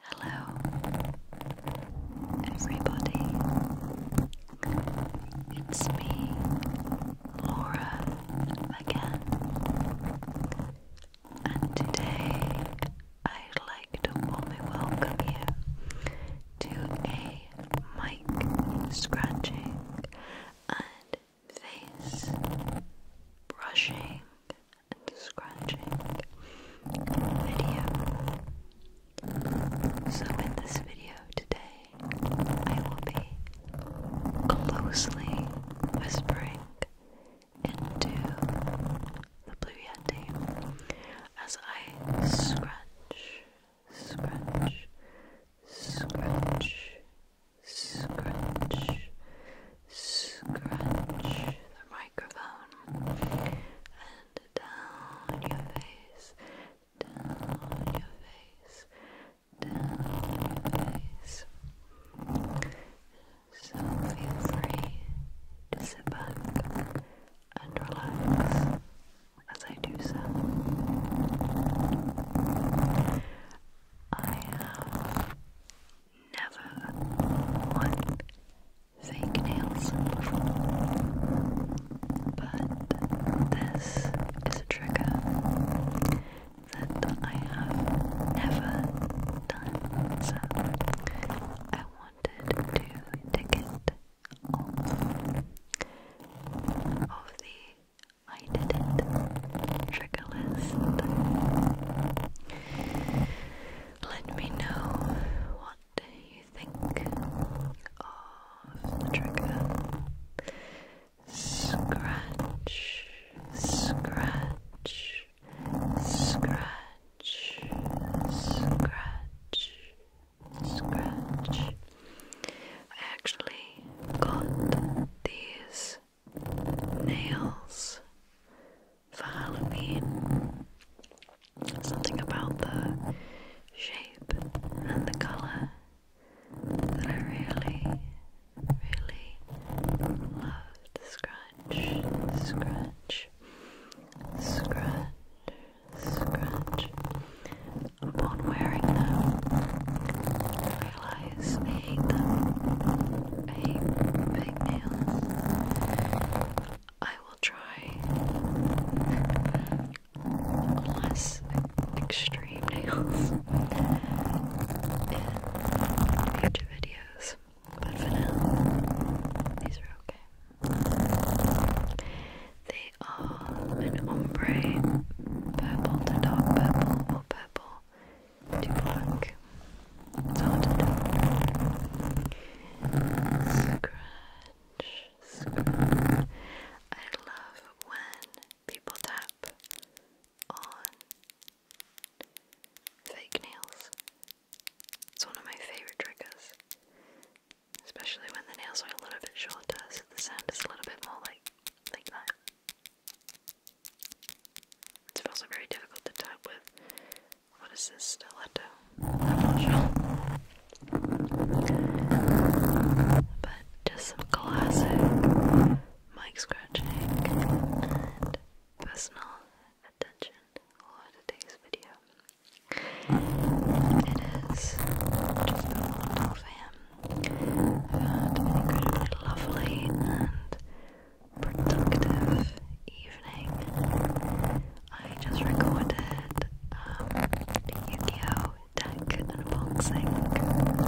Hello, everybody. It's me, Laura, again. And today I'd like to warmly welcome you to a mic scratching and face brushing and scratching video. So, in this video today, I will be closely whispering into the Blue Yeti as I scratch, scratch, scratch, scratch, scratch the microphone and down your face, down your face, down your face. So feel free to sit back and relax as I do so. I have never worn fake nails before, but this is a trigger that I have never done, so I wanted to take it off of the I did it. Trigger list. Let me know what you think of the Scratch, scratch, scratch, scratch, scratch. I actually got these nails for Halloween. Something about the shape and the colour that I really, really loved. Scratch, scratch, scratch, scratch. Upon wearing them, I realised I hate them fake nails. I will try less extreme nails in future videos, but for now, these are okay. They are an ombre purple to dark purple or purple to pluck. It's hard to Scratch, I love when people tap on fake nails. It's one of my favorite triggers. Especially when the nails are a little bit shorter, so the sound is a little bit more like like that. It's also very difficult to type with what is this stiletto? But just some classic mic scratching and personal attention for today's video. It is just a little fan. i lovely and productive evening. I just recorded um, Yu-Gi-Oh! deck unboxing, and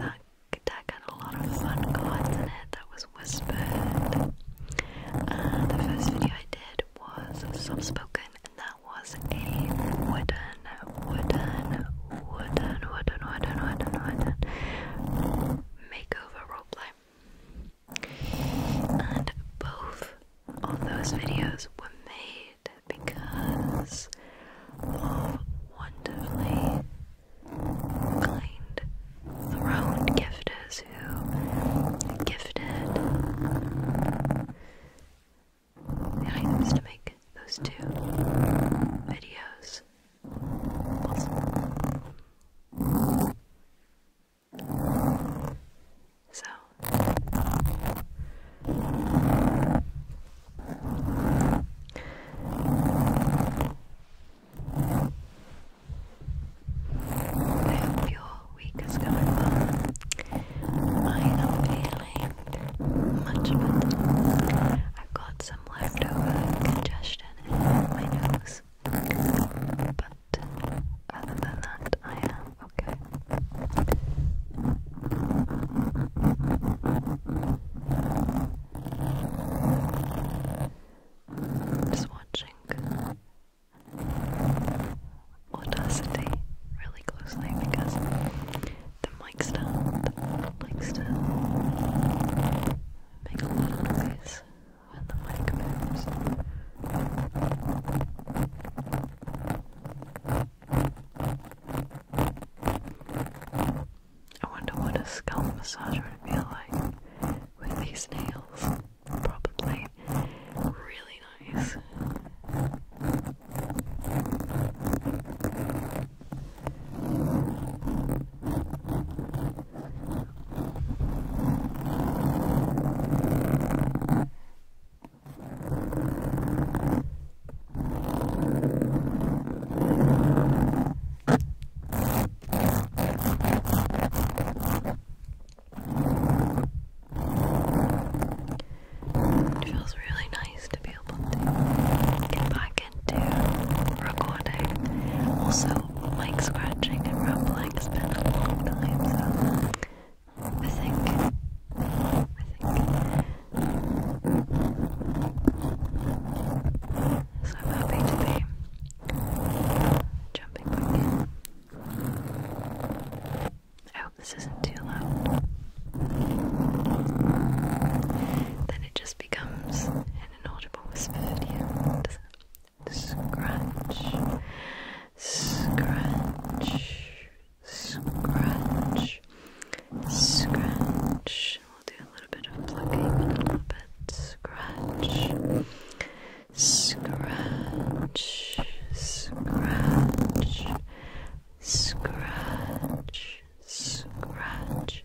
that deck had a lot of fun cards in it that was whispered. And the first video I did was soft spoken, and that was a wooden, wooden, wooden, wooden, wooden, wooden, wooden, wooden both of those videos were made because of wonderfully kind throne gifters who gifted the items to make those two videos so I hope your week is going well. I am feeling much better. I've got some leftover congestion my nose. But other than that, I am okay. Just watching Audacity really closely because the mic stand likes to make a lot of noise when the mic moves. I wonder what a scalp massage would feel like with these nails. Probably really nice. It feels really nice to be able to get back recording. Also, mic scratching and rumbling has been a long time, I think I think so I'm happy to be jumping back I hope oh, this isn't too loud. Then it just becomes an inaudible whisper at the end. Scratch, scratch, scratch, scratch. We'll do a little bit of plucking, a little bit. Scratch, scratch, scratch, scratch, scratch.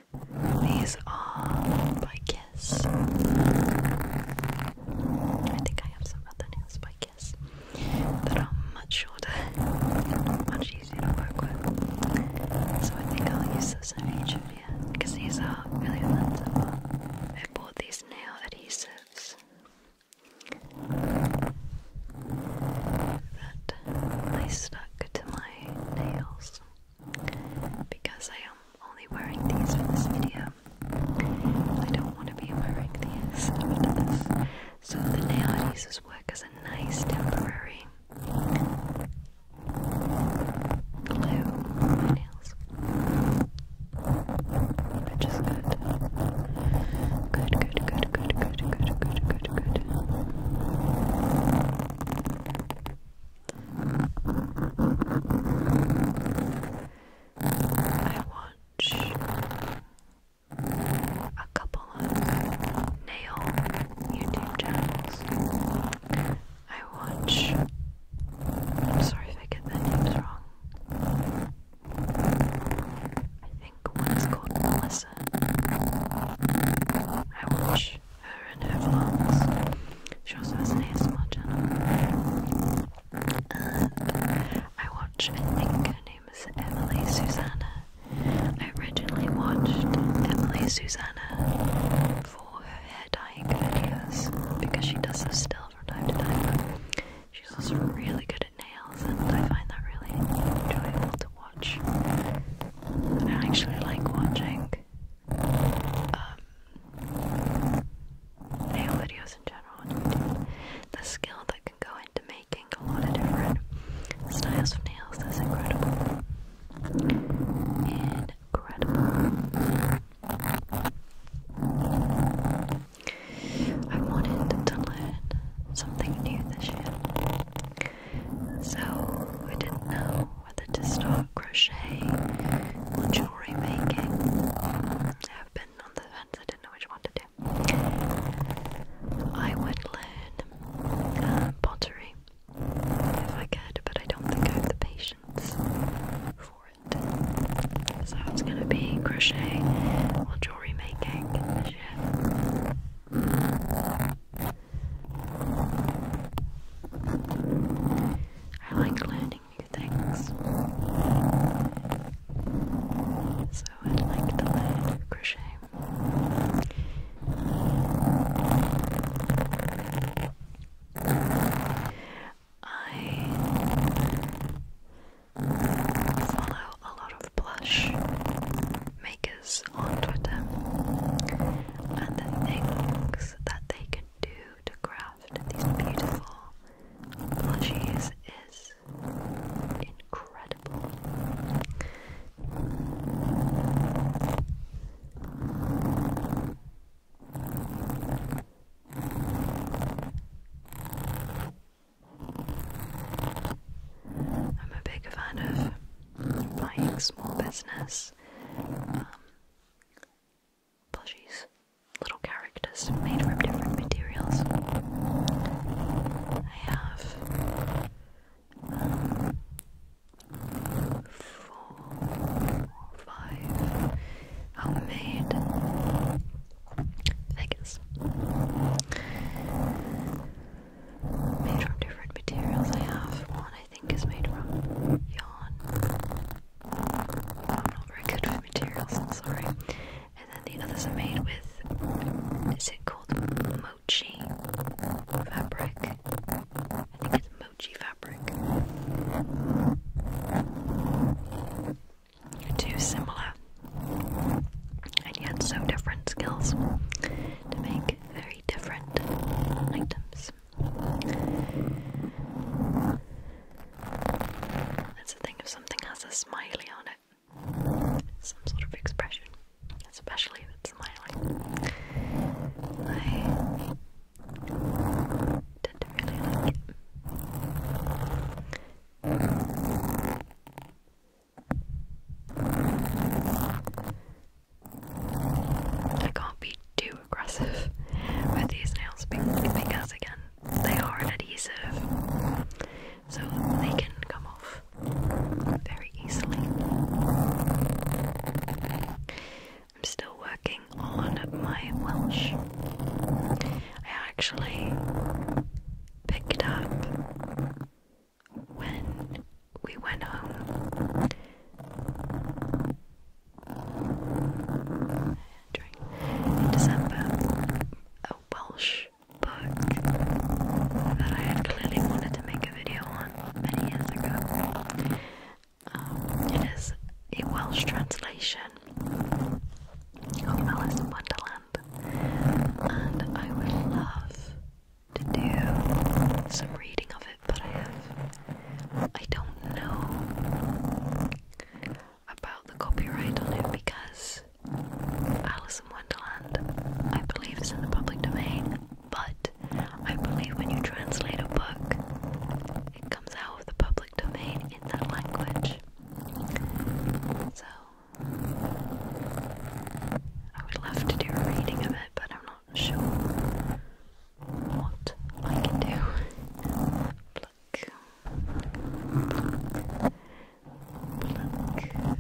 These are by I think I have some other nails by that are much shorter much easier to work with. So I think I'll use this in each of you because these are really expensive. I bought these nail adhesives that they stuck to my nails because I I'm only wearing these for this video. I don't want to be wearing these So the nail adhesives work as a nice temporary glue on my nails. Which is Good, good, good, good, good, good, good, good, good. I watch a couple of nail YouTube channels. I watch. sorry I get their names wrong. I think one is called Melissa. I watch her and her vlogs. She also has an ASMR channel. I watch, I think her name is Emily Susanna. I originally watched Emily Susanna for her hair dyeing videos because she does this still from time to time. She's also really good at nails, and I find that really enjoyable to watch. I actually like watching um, nail videos in general The skill that can go into making a lot of different styles of nails is incredible. Incredible. I wanted to learn something new this year, so I didn't know whether to start crochet or jewellery making. I've been on the fence, I didn't know which one to do. I would learn uh, pottery if I could, but I don't think I have the patience for it. So it's gonna be crochet or jewellery making this year. I like learning new things. So i like to learn crochet. I follow a lot of plush makers on Twitter and the things that they can do to craft these beautiful plushies is incredible. I'm a big fan of buying small business um, plushies, little characters made from different materials. I have um, four or five homemade figures made from different materials. I have one I think is made from yarn. I'm not very good with materials, sorry. And then the others are made with, is it called mochi fabric? I think it's mochi fabric. Too similar, and yet so different skills make very different items. That's the thing if something has a smiley on it, some sort of expression, especially if smiling. I tend to really like I can't be too aggressive with these nails because, again, they are adhesive, so they can come off very easily. I'm still working on my Welsh. I actually picked up when we went home in December a Welsh book that I clearly wanted to make a video on many years ago. Um, it is a Welsh translation of Alice in Wonderland, and I would love to do some reading of that I have. I don't know about the copyright on it because Alice in Wonderland, I believe, is in the public domain, but I believe when you translate a book, it comes out of the public domain in that language. So, I would love to do a reading of it, but I'm not sure what I can do. pluck, pluck, pluck,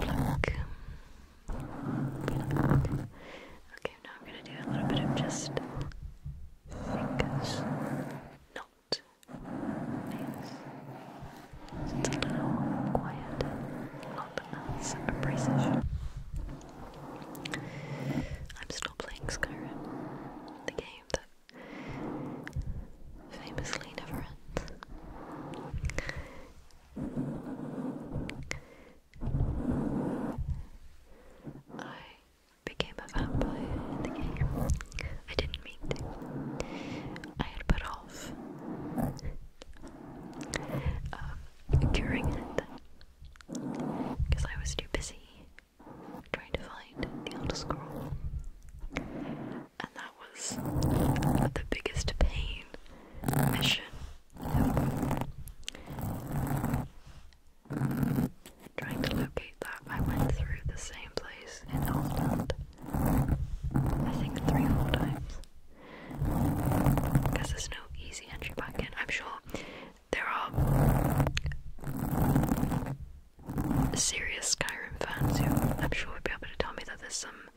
pluck, pluck, Okay, now I'm gonna do a little bit of just fingers, not nails. it's a little quiet, not as a precision. I'm still playing Skyrim, the game that famously never ends. I became a vampire in the game. I didn't mean to. I had put off um, curing it because I was too busy trying to find the Elder Scroll. And that was the biggest pain mission Trying to locate that, I went through the same place in Northland. I think three times because there's no easy entry back in. I'm sure there are serious Skyrim fans who I'm sure would be able to tell me that there's some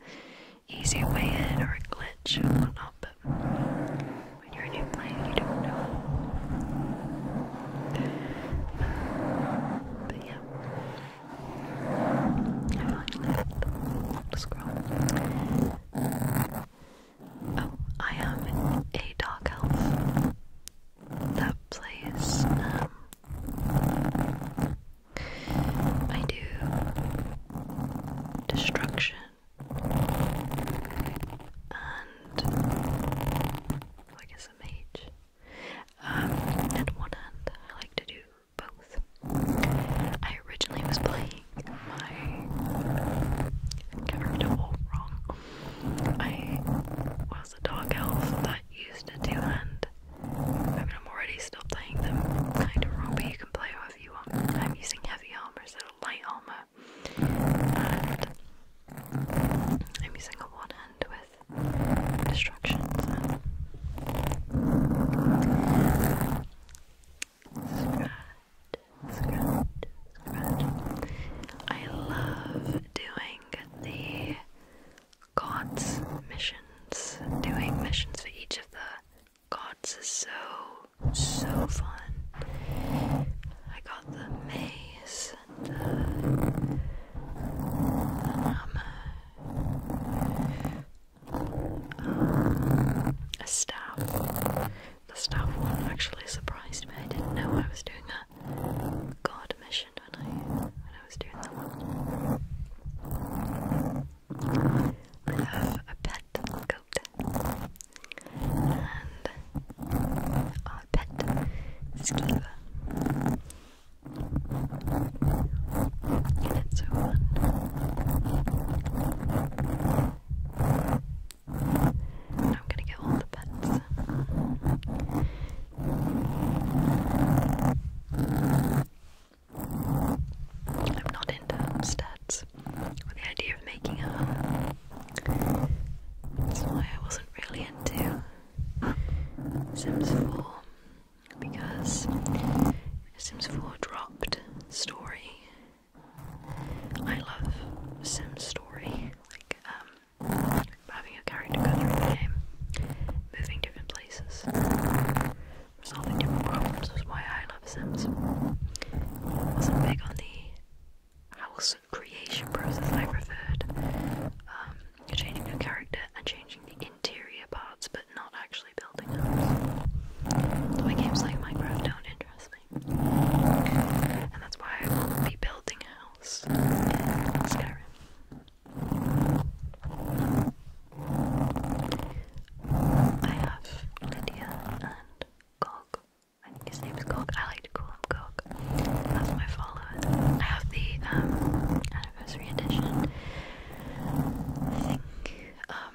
easy way in or a glitch or whatnot, but when you're a new player, you don't know. But yeah. I finally the scroll. Oh, I am a dark elf that plays. Um, I do destruction and I guess a mage. Um, and one hand, I like to do both. I originally was playing my character wrong. I was a dark elf that used a two hand. I mean, I'm already still playing them kind of wrong, but you can play however you want. I'm using heavy armor instead light armor. And I'm using a one hand with distractions. I love doing the gods missions. Doing missions for each of the gods is so, so fun. I got the maze and the, the um, a staff. The staff one actually surprised me. I didn't know I was doing a god mission when I when I was doing that one. I have a pet goat and a pet skeever. And so fun. I'm gonna get all the pets. I'm not into stats. or the idea of making a home. That's why I wasn't really into Sims 4 because Sims 4 dropped story I love Sims story, like um, having a character go through the game, moving different places, resolving different problems is why I love Sims. wasn't big on the house creation process I preferred. Um, changing your character and changing the interior parts but not actually building houses. my games like Minecraft don't interest me. And that's why I will be building a in Skyrim. I have Lydia and Gog. His name is Gog. I like to call him Gog. That's my follower. I have the um, anniversary edition. I think um,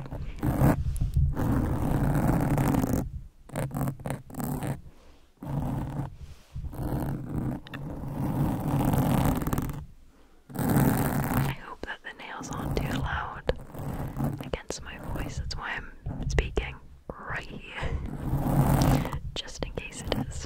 I hope that the nails aren't too loud against my voice. That's why I'm speaking right here, just in case it is.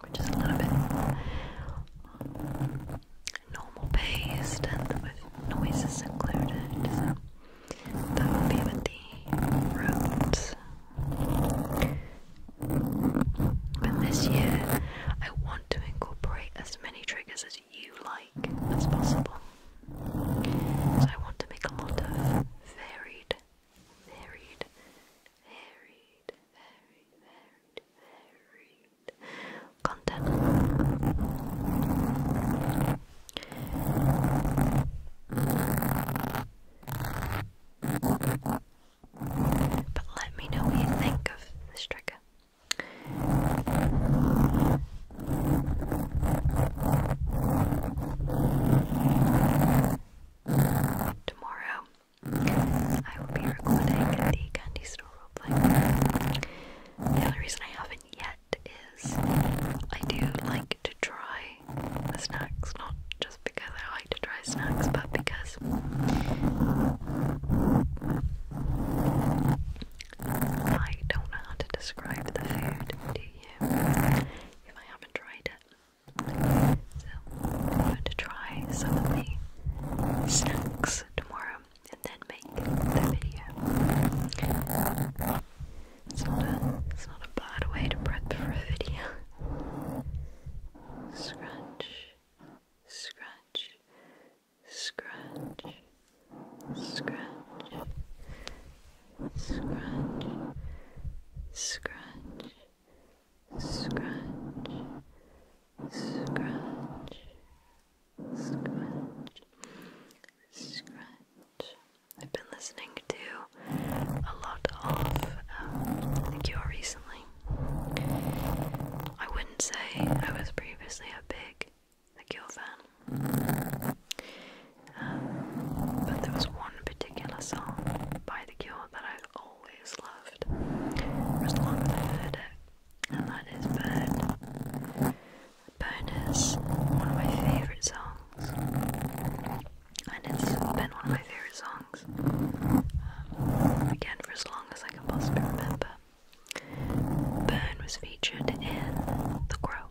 which is a little bit normal paced and with noises included. that would be the roads. But this year, I want to incorporate as many triggers as you like as possible. So I want to make a lot of varied, varied, varied, varied, varied, varied But let me know what you think of the striker. Tomorrow, I will be recording the Candy Store roleplay. The only reason I haven't yet is I do like to try snacks, not just because I like to try snacks, but because I don't know how to describe the food to you if I haven't tried it. So I'm going to try some of the snacks tomorrow and then make the video. It's not a it's not a bad way to prep for a video. Scratch, scratch, scratch, scratch, scratch, scratch scratch, scratch, scratch, scratch. I've been listening to a lot of um, recently. I wouldn't say I was previously a big The fan, um, but there was one particular song by the cure that I've always loved for as long as I've heard it, and that is Bird. Bird one of my favourite songs, and it's been one of my favourite songs um, again for as long as I can possibly remember. Burn was featured in The Crow,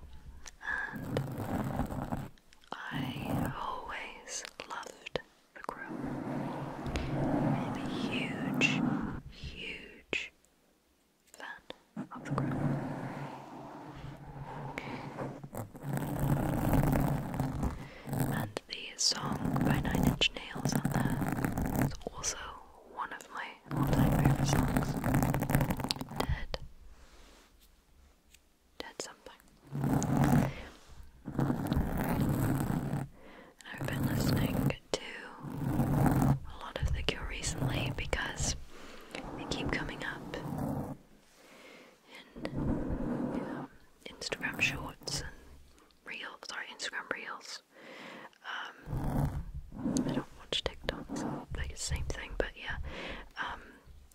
I always loved the grill. I'm a huge, huge fan of the grill. And the song by Nine Inch Nails on also one of my all-time favorite songs. Dead. That's something. I've been listening to a lot of The Cure recently because they keep coming up in um, Instagram shorts and reels. Sorry, Instagram reels. Um, I don't watch TikTok, same thing, but yeah. Um,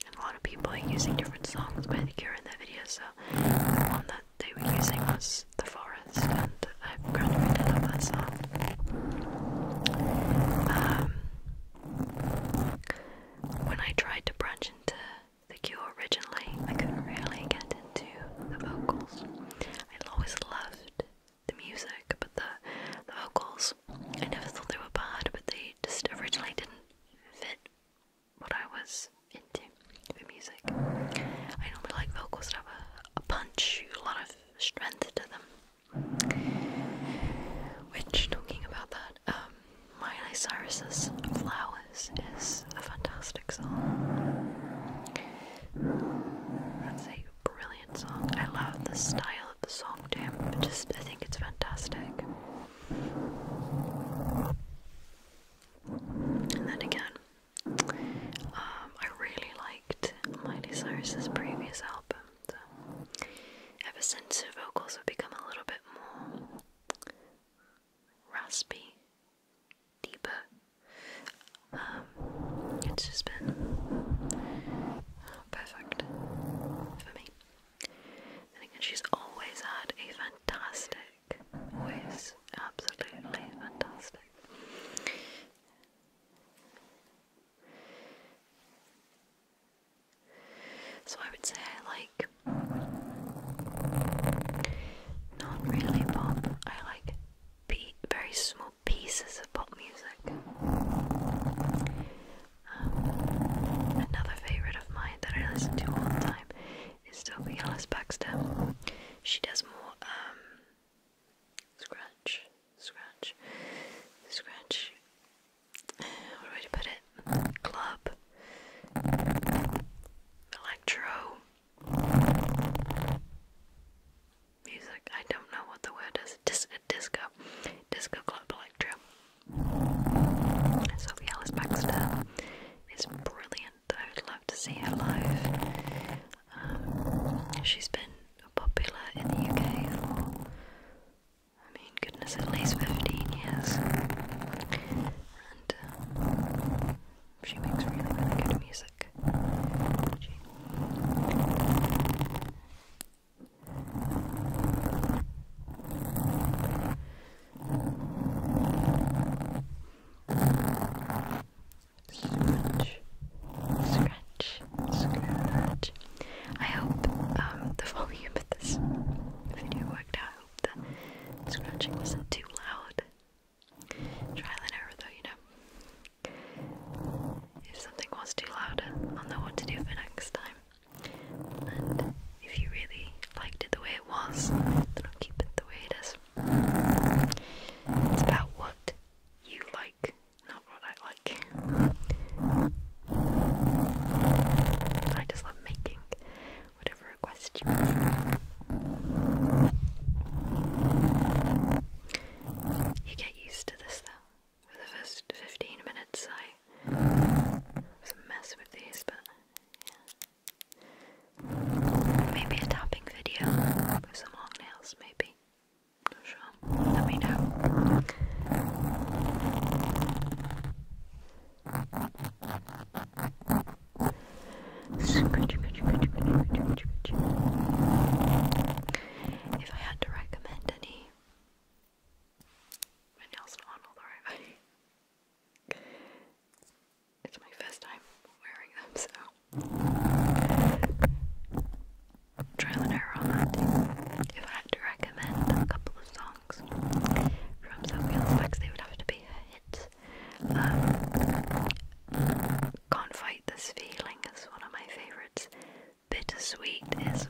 and a lot of people are using different songs by The Cure in that video, so the one that they were using was The Forest, and I to be on that song. Um, when I tried to branch into The Cure originally, I couldn't really get into the vocals. I always loved the music, but the, the vocals, I never thought they were bad, but they just originally didn't fit what I was into for music. I normally like vocals that have a, a punch, a lot of strength to them. Which, talking about that, um, Miley Cyrus's Flowers is a fantastic song. That's a brilliant song. I love the style of the song, too. Just, I think it's fantastic. And then again, um, I really liked Miley Cyrus's previous album. So ever vocals have become a little bit more raspy, deeper, um, it's just been perfect for me. And again, she's always had a fantastic voice, absolutely fantastic. So I would say I like not really pop. I like very small pieces of pop music. Um, another favorite of mine that I listen to all the time is still be Alice Baxter. She does more um scratch, scratch, scratch. Where do I put it? Club, electro, music. I don't know what the word is. disco, disco club electro. Sophie Alice Baxter is brilliant. I would love to see her live. Um, she's been popular in the UK for, I mean, goodness, at least 15 years. And um, she makes really, really good music. Scratch, scratch, scratch. I hope um, the volume of this video worked out. I hope the scratching wasn't too loud. Trial and error, though, you know. If something was too loud, I'll know what to do for next time if you really liked it the way it was, then I'll keep it the way it is. It's about what you like, not what I like. I just love making whatever request you make. You get used to this though. For the first 15 minutes I was a mess with these, but Maybe a tapping video with some long nails, maybe. Not sure. Let me know. If I had to recommend any, my nails not on all the right It's my first time wearing them, so trial and error on that. If I had to recommend a couple of songs from Sophie on they would have to be her hits. Um, Can't Fight This Feeling is one of my favourites. Bittersweet is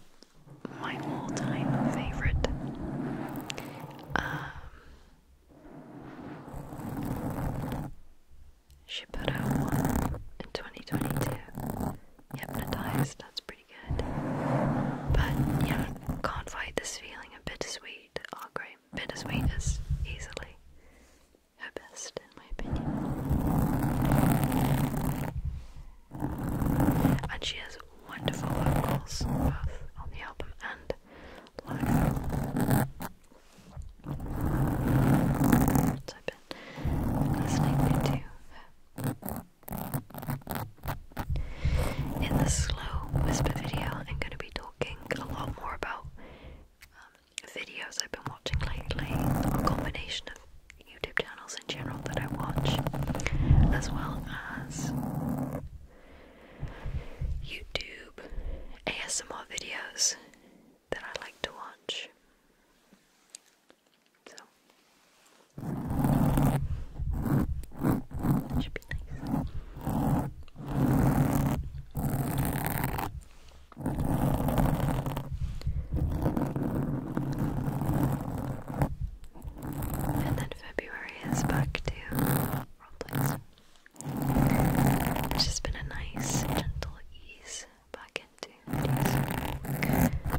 my all-time favourite. Um, she put out one in 2022. Hypnotized, that's pretty good. But yeah, can't fight this feeling of bittersweet. Oh, great. easily her best, in my opinion. And she has wonderful vocals, both on the album and live. I've been listening to in the slow whisper video, I'm going to be talking a lot more about um, videos I've been watching lately, a combination of YouTube channels in general that I watch, as well as YouTube ASMR videos that I like to watch. So should be nice. And then February is back to it's just been a nice, gentle ease back into today's work.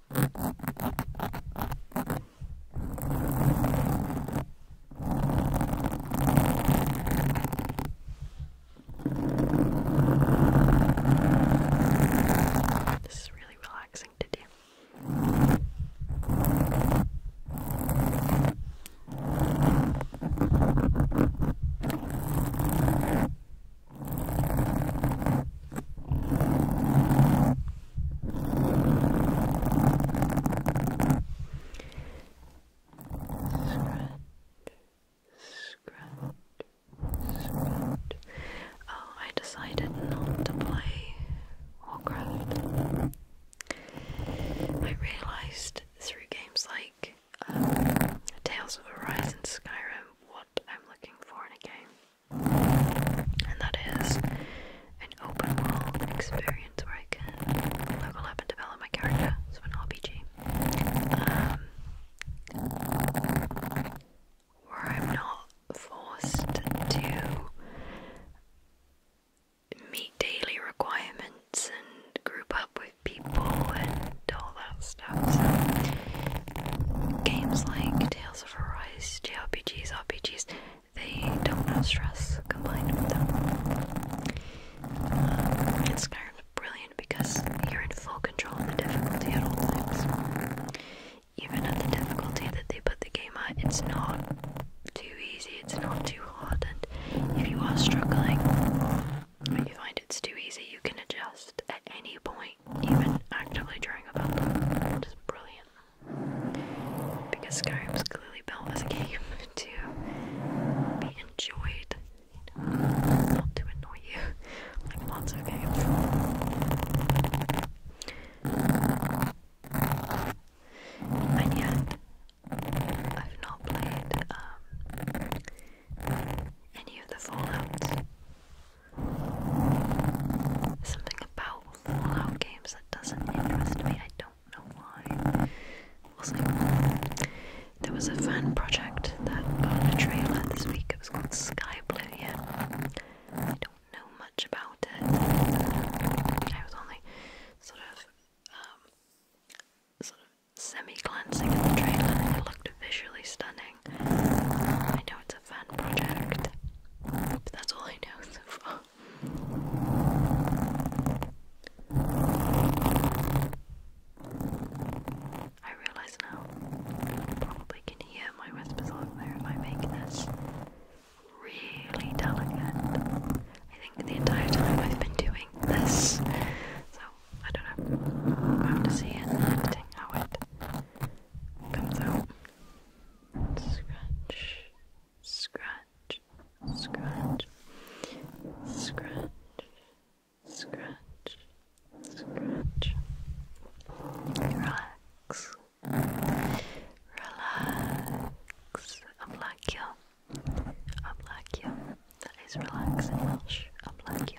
This is really relaxing to do. Scratch, scratch. Oh, I decided not to play Warcraft. I realised through games like um, Tales of Arise and Skyrim what I'm looking for in a game and that is an open world experience where I can level and develop my character. So an RPG, um, where I'm not forced to meet daily requirements and group up with people and all that games like Tales of Arise, JRPGs, RPGs, they don't have stress combined with them. and um, Skyrim's brilliant because you're in full control of the difficulty at all times. Even at the difficulty that they put the game at, it's not too easy, it's not too hard, and if you are struggling, if you find it's too easy, you can adjust at any point even actively trying about them, is brilliant. Because Skyrim was clearly built as a game to be enjoyed, not to annoy you, like lots of games. And yet, I've not played um, any of the Fallouts. Something about Fallout games that doesn't interest me. I don't know why. Also, there was a fan project that got a trailer this week. It was called Sky Blue. Oblivion. I don't know much about it. I was only sort of, um, sort of semi-glancing at the trailer, and it looked visually stunning. I know it's a fun project, but that's all I know so far. I realise now you probably can hear my whispers all there if I make this really delicate. I think the entire time I've been doing this, so I don't know. I have to see in editing how it Come out. Scratch, scratch, scratch, scratch, scratch, scratch. Relax, relax. Ablakia, you. That is relaxing. I'm Welsh. you.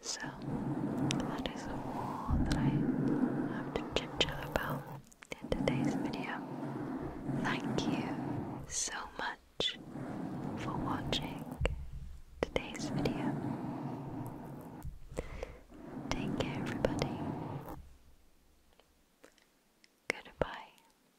So that is all that I have to chit chat about in today's video. Thank you so much for watching today's video. Take care, everybody. Goodbye.